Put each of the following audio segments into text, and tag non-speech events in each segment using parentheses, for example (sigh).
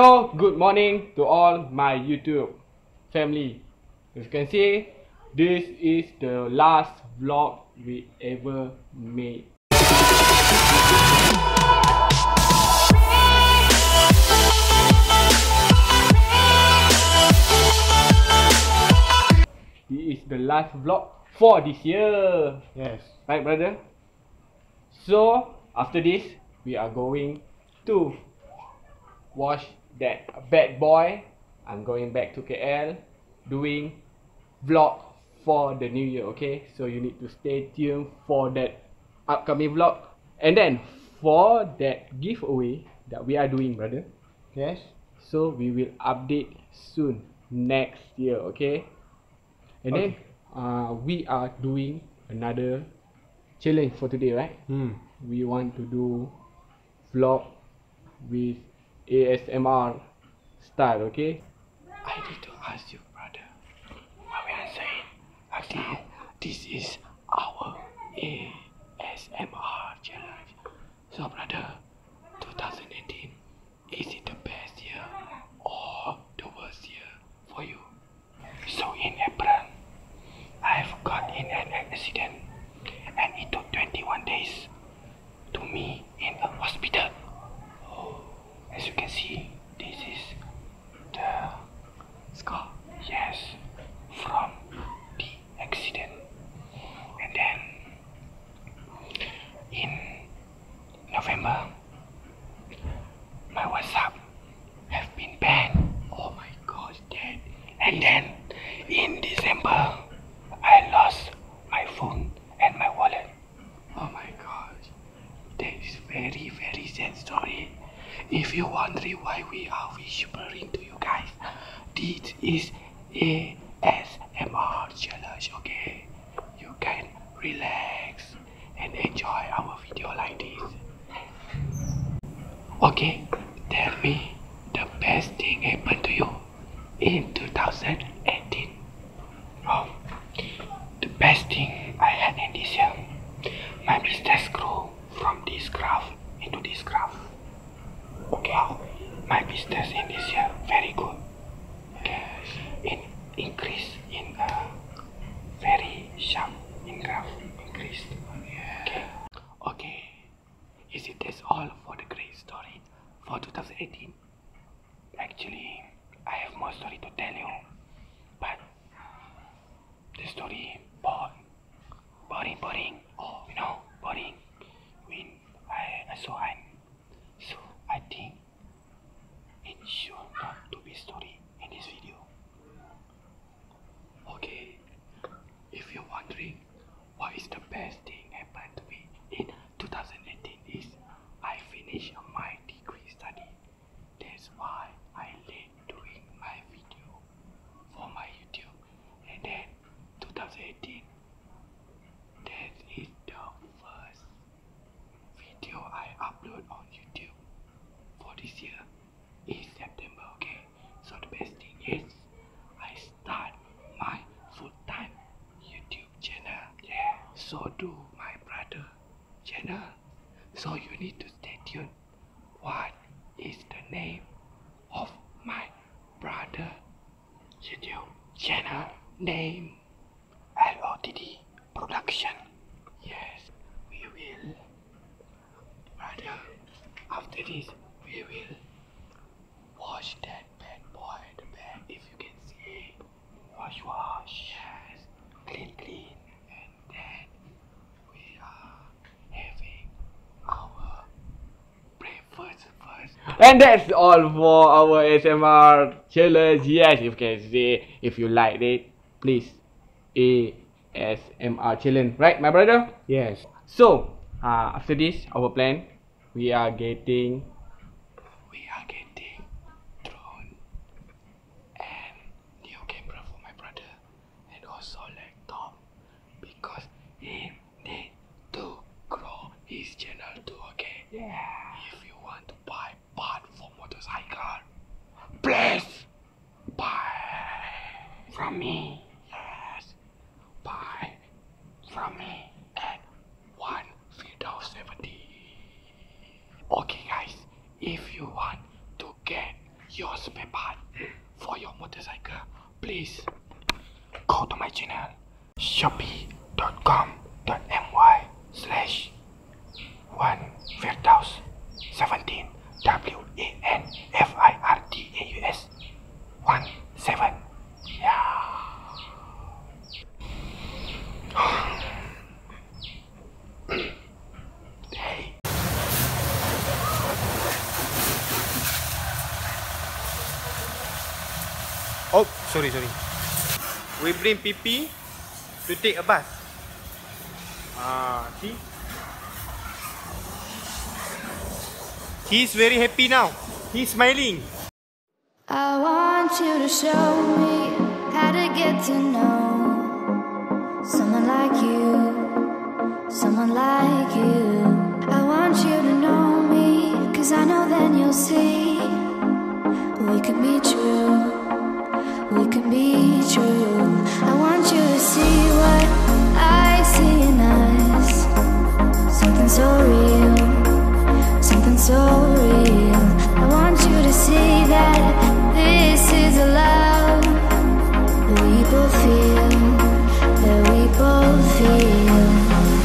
Hello, good morning to all my YouTube family. As you can see, this is the last vlog we ever made. It is the last vlog for this year. Yes. Right, brother? So, after this, we are going to wash that bad boy. I'm going back to KL doing vlog for the new year, okay? So, you need to stay tuned for that upcoming vlog. And then, for that giveaway that we are doing, brother. Yes. So, we will update soon next year, okay? And okay. then uh, we are doing another challenge for today, right? Hmm. We want to do vlog with ASMR style, okay? I need to ask you, brother. What we are saying? Okay, this is our ASMR challenge. So, brother, 2018, is it the best year or the worst year? for you. So in April, I have got in an accident and it took 21 days to me in a hospital. As you can see, this is the scar. Yes, from the accident. And then in November, my WhatsApp have been banned. Oh my gosh, Dad. And then in December, I lost my phone and my wallet. Oh my gosh, that is very, very sad story. If you wondering why we are whispering to you guys, this is ASMR challenge, okay? You can relax and enjoy our video like this okay tell me the best thing happened to you in 2018 oh, the best thing I had in this year my business grew from this graph into this graph okay my business in this year very good okay, in increase in a very sharp in graph increase. Okay. Okay. Is it that's all for the great story for 2018? Actually, I have more story to tell you, but the story boring, boring, boring. Oh, you know, boring. When I saw him. So I think it should not to be story in this video. Okay, if you're wondering what is the best thing happened to me in 2018 is I finished my degree study. That's why I late doing my video for my YouTube and then 2018 that is the first video I upload on YouTube for this year is September, okay? So the best thing is I start my full-time YouTube channel. Yeah, so do my brother channel. So you need to stay tuned. What is the name of my brother YouTube channel name? LOTD production. Yes, we will. after this, we will wash that bad boy, if you can see Wash, wash. Yes, clean, clean. And then we are having our breakfast first. And that's all for our S.M.R. Chillers, Yes, if you can say if you like it, please. ASMR chilling, right, my brother? Yes. So uh, after this, our plan, we are getting, we are getting drone and new camera for my brother, and also laptop because he needs to grow his channel too, okay? If you want to buy part for motorcycle, please buy from me. Yes, buy from me at one video seventy. Okay, guys, if you want to get your spare part for your motorcycle, please go to my channel shopee.com.my slash 1 Firdaus 17 W A N F I R D A U S 1 7 yeah (sighs) hey oh Oh, sorry, sorry. We bring PP to take a bus. Ah, see? He's very happy now. He's smiling. I want you to show me how to get to know someone like you. Someone like you. I I I I I want want want you you'll you you to to to know know then see see see see we we we can can be be true, true. what in us, something something so so real, real. that that this is a love both feel that we both feel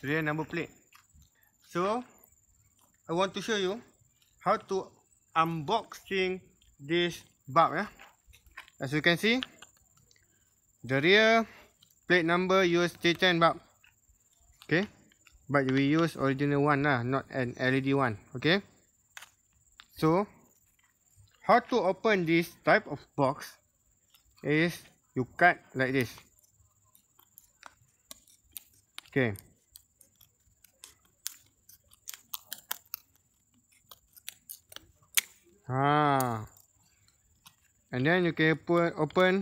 Serial number plate. So, I want to show you how to unboxing this bug. Yeah. As you can see, the rear plate number USD10 bug. Okay. But we use original one lah, not an LED one. Okay. So, how to open this type of box is you cut like this. Oke. Okay. Ha. And then you can open open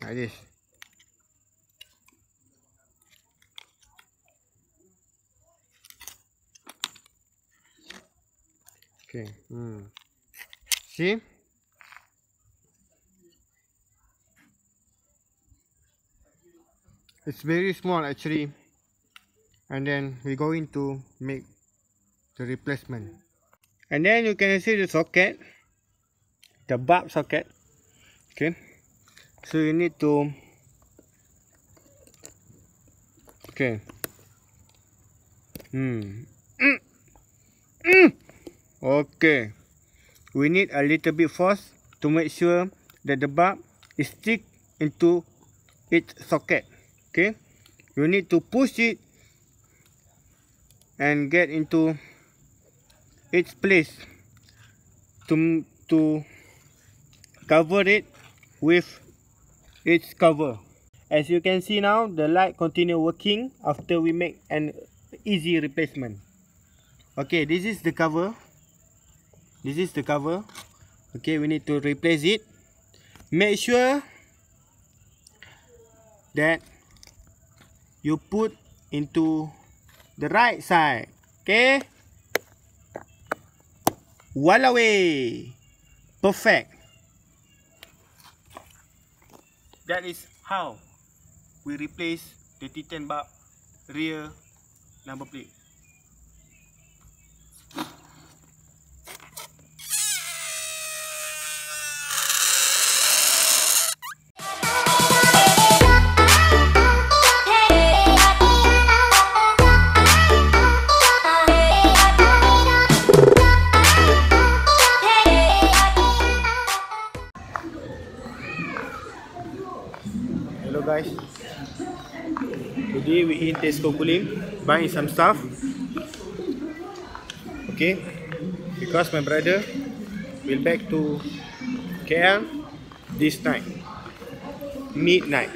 like this. Okay. Hmm. See? It's very small actually and then we're going to make the replacement and then you can see the socket the bulb socket okay so you need to okay hmm Mm. Okay. We need a little bit force to make sure that the bar is stick into its socket. Okay. You need to push it and get into its place to to cover it with its cover. As you can see now, the light continue working after we make an easy replacement. Okay, this is the cover. This is the cover. Okay, we need to replace it. Make sure that you put into the right side. Okay? Wallaway! Perfect! That is how we replace the T10 bar rear number plate. Hello guys. Today we in Tesco Kulim buying some stuff. Okay. Because my brother will back to KL this night. Midnight.